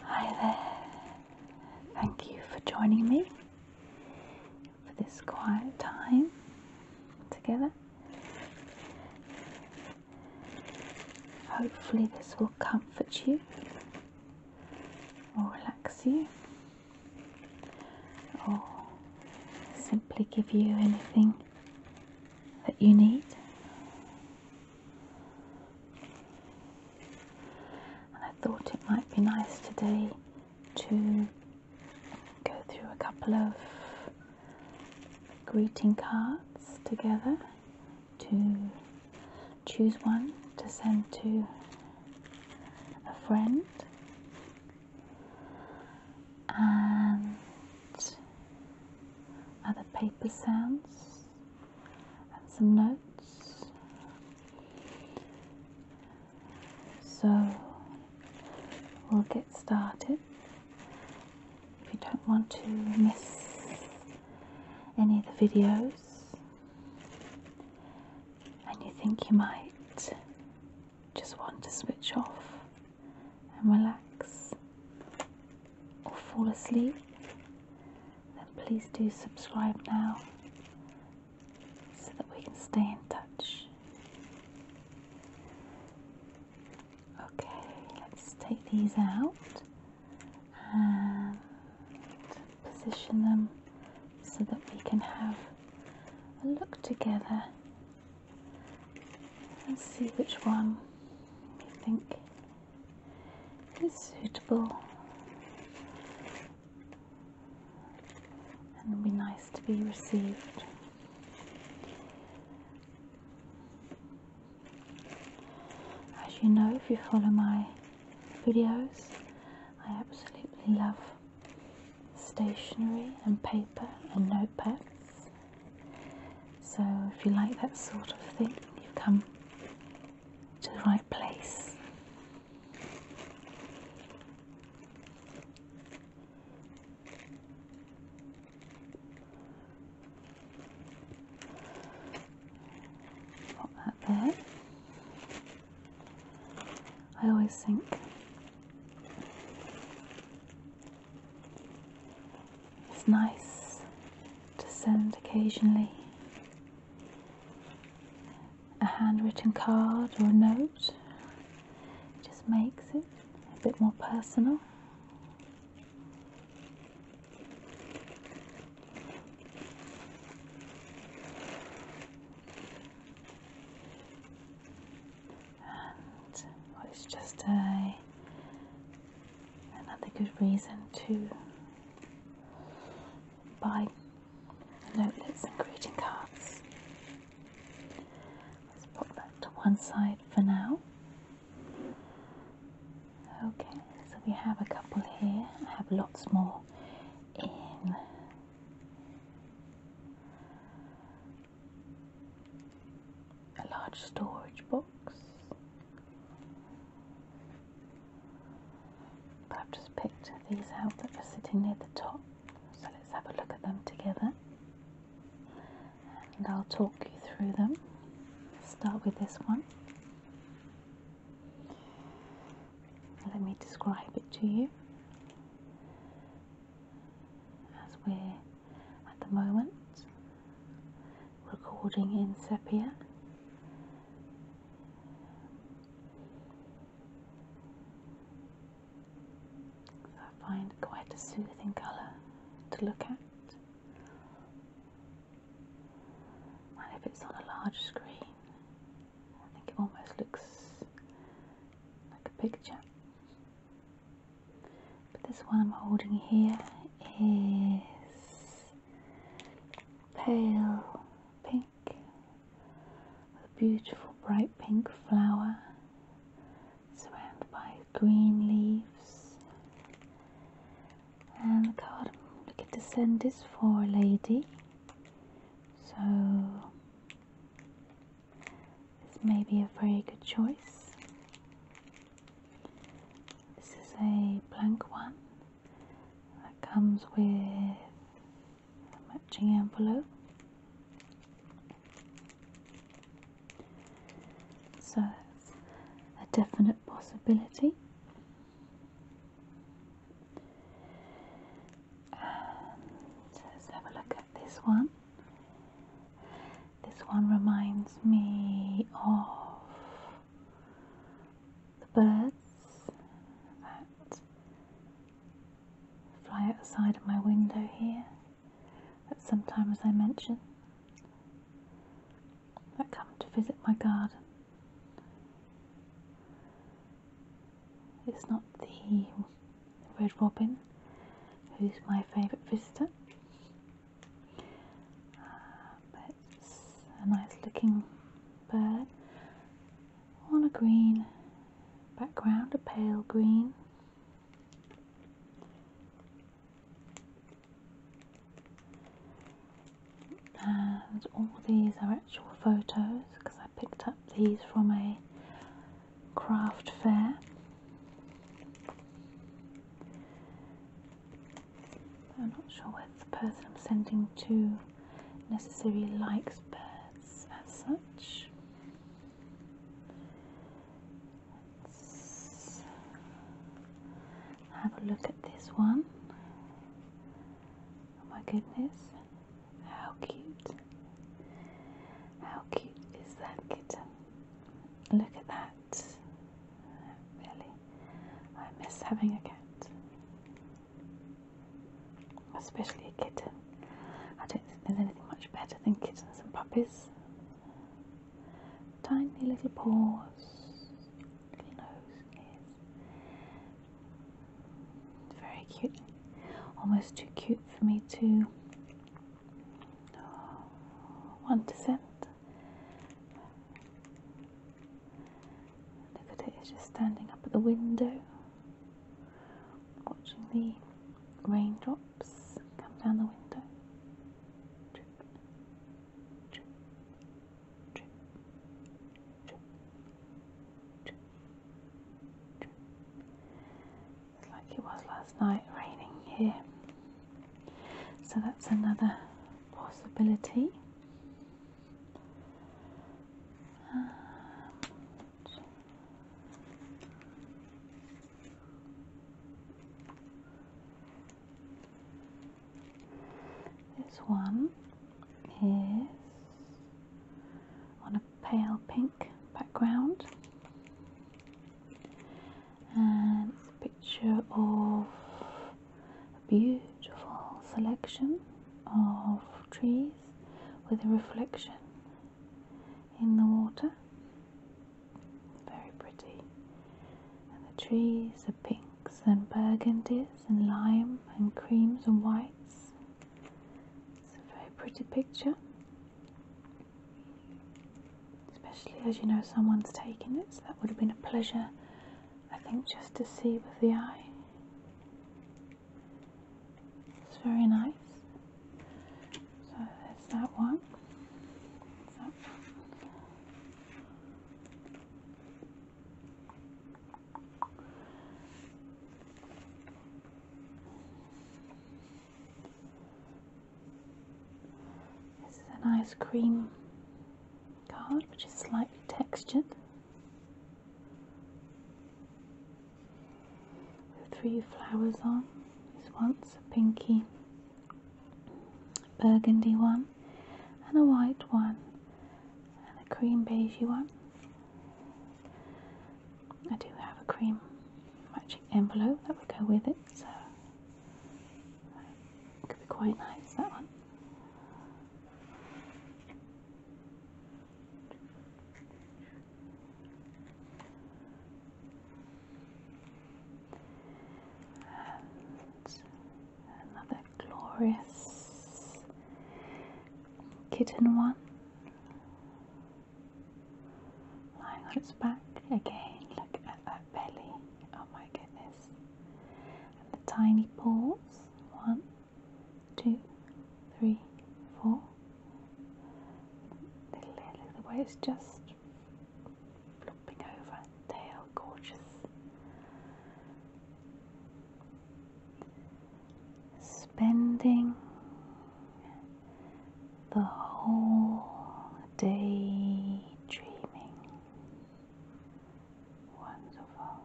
Hi there. Thank you for joining me for this quiet time together. Hopefully, this will comfort you or relax you or simply give you anything that you need. And I thought it might be nice today to go through a couple of greeting cards together to choose one to send to a friend and other paper sounds and some notes. So we'll get started. If you don't want to miss any of the videos and you think you might, just want to switch off and relax or fall asleep, then please do subscribe now so that we can stay in touch. Okay, let's take these out and position them so that we can have a look together Let's see which one you think is suitable. And it'll be nice to be received. As you know, if you follow my videos, I absolutely love stationery and paper and notepads. So, if you like that sort of thing, you've come to the right place. Put that there. I always think it's nice to send occasionally a handwritten card or a note. It just makes it a bit more personal it's just a another good reason to buy notelets and greeting cards. Let's pop that to one side for now. Okay, so we have a couple here. I have lots more in a large storage box. But I've just picked these out that are sitting near the top, so let's have a look at them together and I'll talk you through them. Start with this one. Let me describe it to you as we're at the moment recording in sepia. I find quite a soothing colour to look at. And if it's on a large screen, I think it almost looks like a picture. But this one I'm holding here is pale pink a beautiful bright pink flower surrounded by green leaves. And the card I'm looking to send is for a lady. So this may be a very good choice. This is a blank one that comes with a matching envelope. So it's a definite possibility. Um, let's have a look at this one. This one reminds me of the birds that fly outside of my window here that sometimes I mention that come to visit my garden. It's not the red robin, who's my favourite visitor. Uh, but it's a nice looking bird on a green background, a pale green. And all these are actual photos because I picked up these from a craft fair. I'm not sure whether the person I'm sending to necessarily likes birds as such. have a look at this one. Oh my goodness, how cute. How cute is that kitten? Look at that. Really, I miss having a cat. Especially a kitten. I don't think there's anything much better than kittens and puppies. Tiny little paws, little nose, ears, very cute. Almost too cute for me to oh, want to send. Look at it, it's just standing up at the window, watching the raindrops come down the window. It's like it was last night, raining here. So that's another possibility. this one is on a pale pink background and it's a picture of a beautiful selection of trees with a reflection in the water very pretty and the trees are pinks and burgundies and lime and creams and whites it's a very pretty picture, especially as you know someone's taken it, so that would have been a pleasure, I think, just to see with the eye. It's very nice. So there's that one. There's that one. This is an ice cream card which is slightly textured with three flowers on. This one's a pinky burgundy one and a white one and a cream you want. I do have a cream matching envelope that would go with it, so could be quite nice that one another glorious kitten one lying on its back again. Look at that belly, oh my goodness, and the tiny paws one, two, three, four. The look the way it's just flopping over, tail gorgeous spending the whole day dreaming. Wonderful.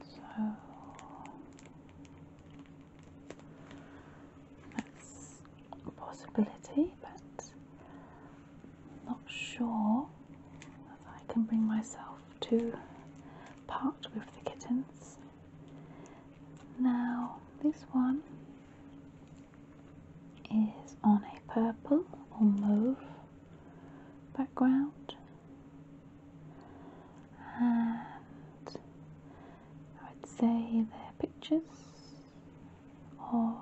So that's a possibility, but not sure if I can bring myself to part with the kittens. Now, this one is on a purple or mauve background, and I would say their pictures of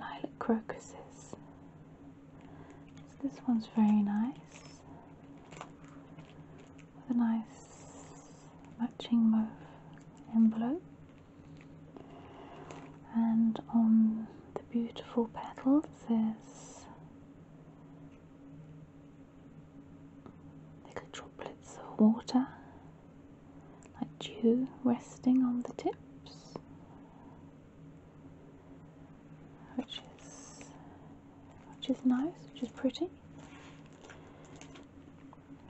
lilac crocuses. this one's very nice with a nice matching mauve envelope and on the beautiful petals there's little droplets of water like dew resting on the tips, which is which is nice, which is pretty.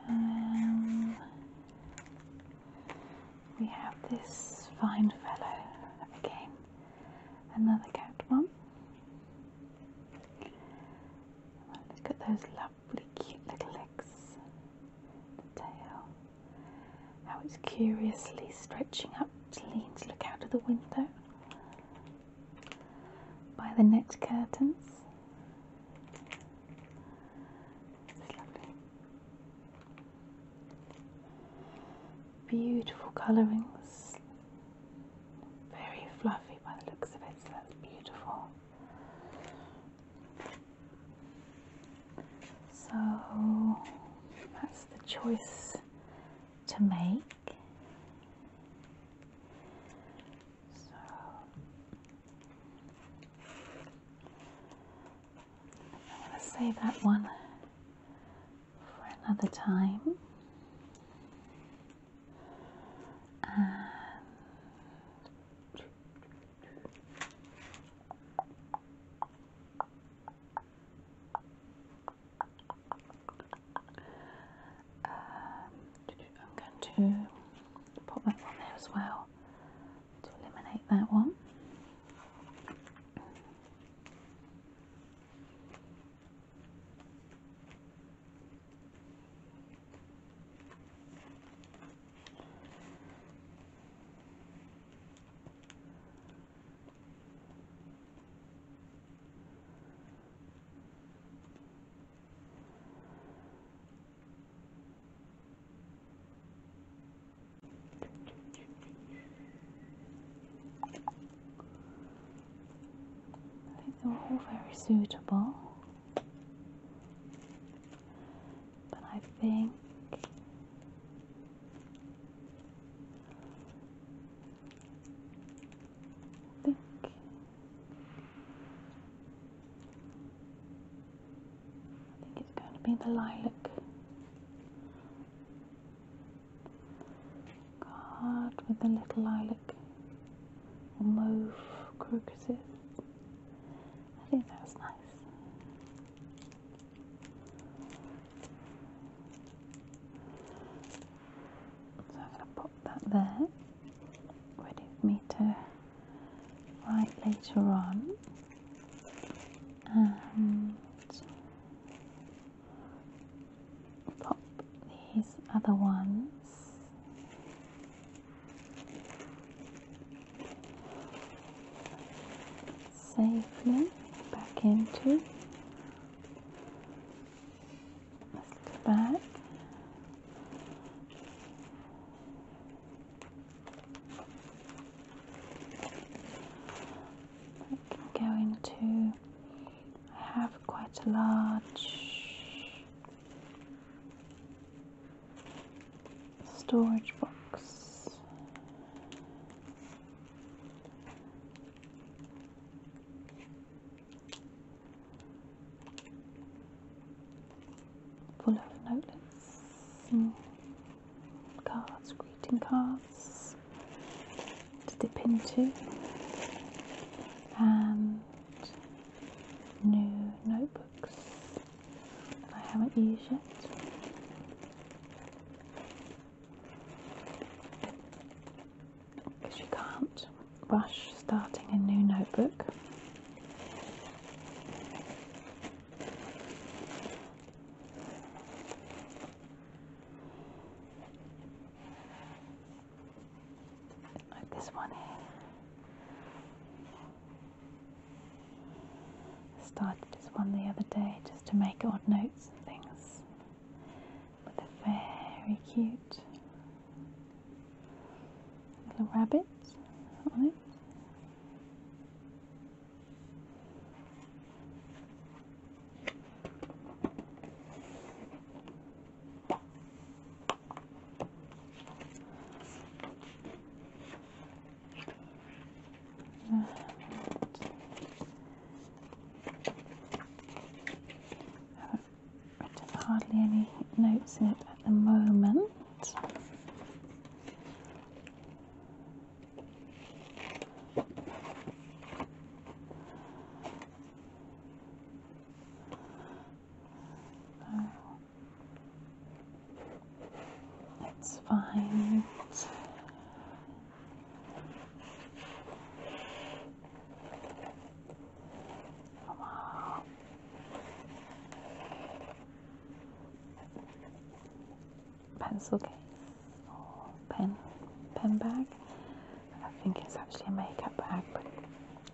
Um, we have this fine fellow again, another cat one. Look at those lovely, cute little legs, the tail how it's curiously stretching up to lean to look out of the window. By the net curtains. It's lovely. Beautiful colourings. Very fluffy by the looks of it, so that's beautiful. So that's the choice to make. So I'm going to save that one for another time. Um, I'm going to put that one there as well to eliminate that one. They're all very suitable but I think think I think it's going to be the lilac card with the little lilac or mauve crocuses. I think that was nice. So I'm going to pop that there, ready for me to write later on. And pop these other ones safely back into the bag. I can go into, I have quite a large storage box. Full of notes cards, greeting cards to dip into, and new notebooks I haven't used it. Because you can't rush starting a new notebook. Like this one here. I started this one the other day just to make odd notes and things with a very cute little rabbit on it. I have written hardly any notes in it at the moment. Oh. It's fine. Come on. Pencil case or pen pen bag. I think it's actually a makeup bag, but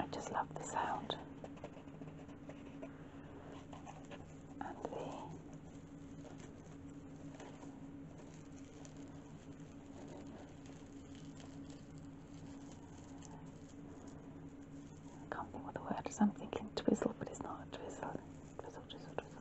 I just love the sound. I can't think what the word is. I'm thinking twizzle, but it's not twizzle. Twizzle, twizzle, twizzle.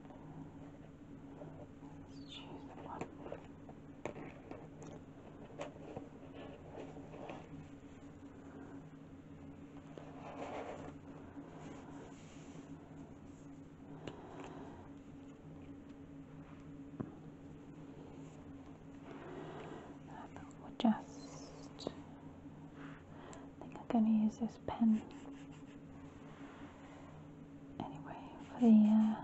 Let's choose one. I think just I think I'm going to use this pen anyway for the,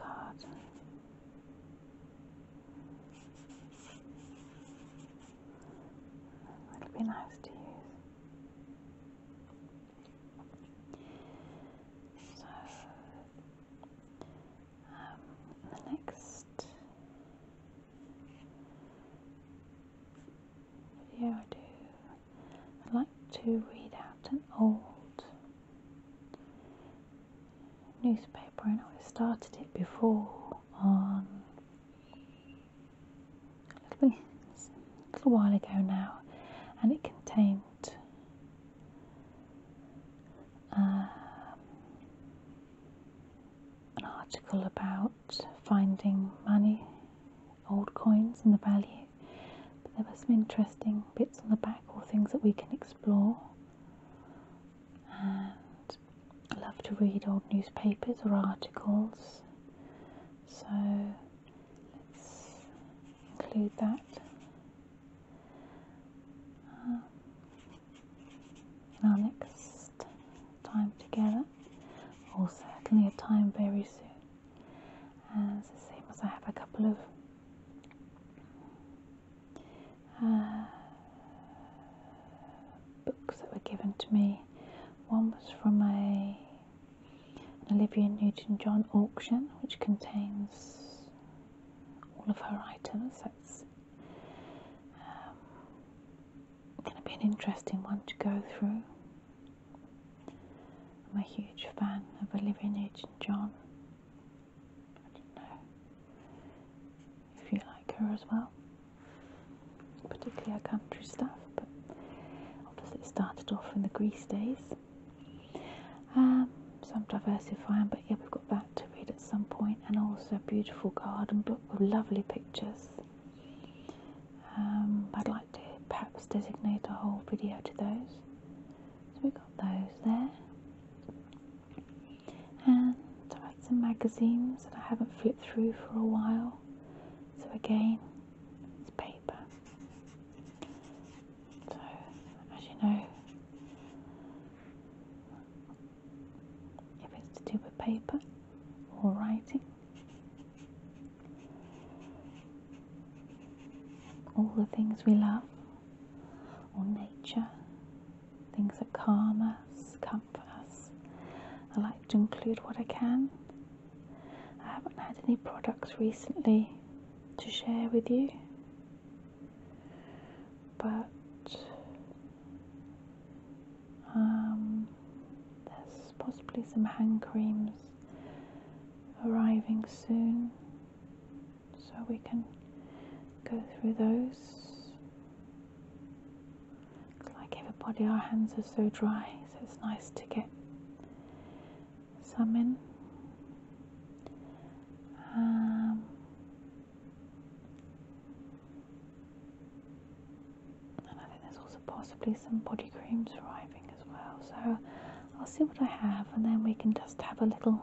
uh, card. It'll be nice to use. So, um, the next video I do, i like to read out an old newspaper. I know I started it before a little, while ago now, and it contained. Um, an article about finding money, old coins and the value, there were some interesting bits on the back or things that we can explore. And I love to read old newspapers or articles, so let's include that. Um, in our next time together, or certainly a time very soon. As the same as I have a couple of uh, books that were given to me. One was from a Olivia Newton-John auction, which contains all of her items going to be an interesting one to go through. I'm a huge fan of Olivia Newton John. I don't know if you like her as well, particularly her country stuff, but obviously it started off in the Grease days. Um, so I'm diversifying, but yeah, we've got. That to read at some point, and also a beautiful garden book with lovely pictures. Um, I'd like to perhaps designate a whole video to those. So we got those there. And I had some magazines that I haven't flipped through for a while. So again, it's paper. So as you know, if it's to do with paper or writing. All the things we love, or nature, things that calm us, comfort us. I like to include what I can. I haven't had any products recently to share with you, but um, there's possibly some hand creams arriving soon, so we can go through those. like everybody, our hands are so dry, so it's nice to get some in. Um, and I think there's also possibly some body creams arriving as well. So I'll see what I have and then we can just have a little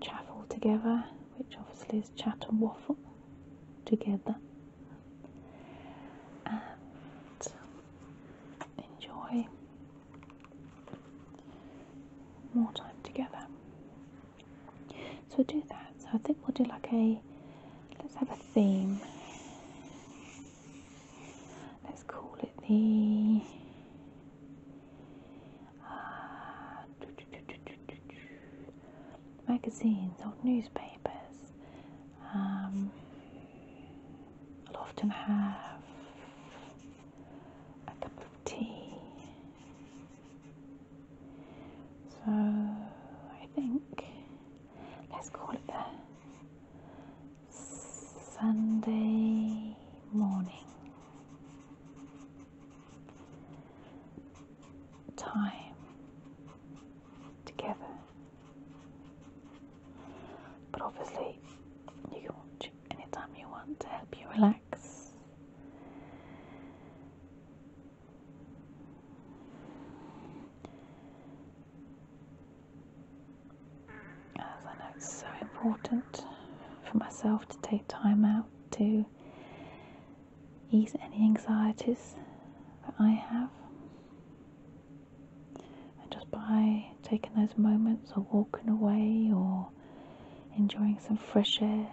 chaffle together, which obviously is chat and waffle together. enjoy more time together. So we'll do that. So I think we'll do like a, let's have a theme. Let's call it the, uh, magazines, old newspapers. Um, I'll often have a cup of tea so I think let's call it the Sunday morning time together. But obviously, you can watch anytime you want to help you relax as I know it's so important for myself to take time out to ease any anxieties that I have. And just by taking those moments or walking away or enjoying some fresh air,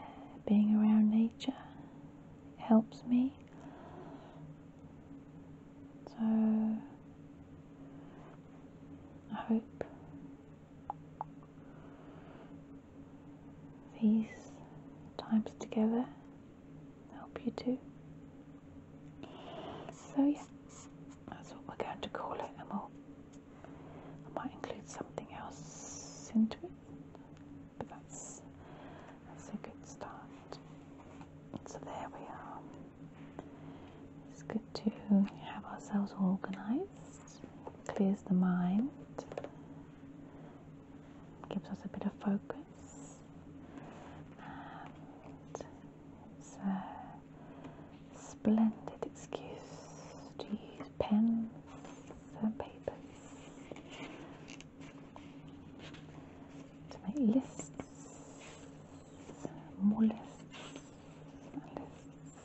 being around nature helps me. So I hope these times together help you too. So yeah, that's what we're going to call it, and I might include something else into it, but that's, that's a good start. So there we are. It's good to have ourselves organised, clears the mind, gives us a bit of focus, and Splendid excuse to use pens and papers to make lists, more lists, lists.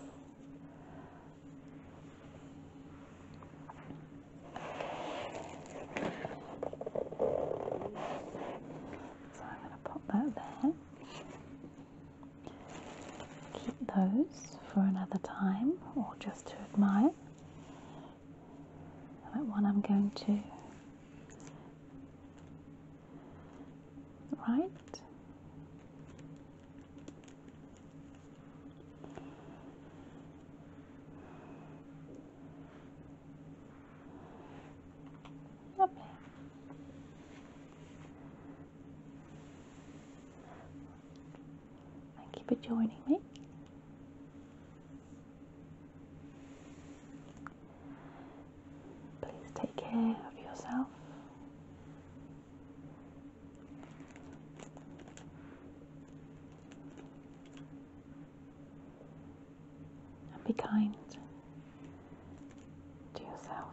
So I'm going to pop that there. Keep those for another time or just to admire. That one I'm going to right. Lovely. Thank you for joining me. Please take care of yourself. And be kind to yourself.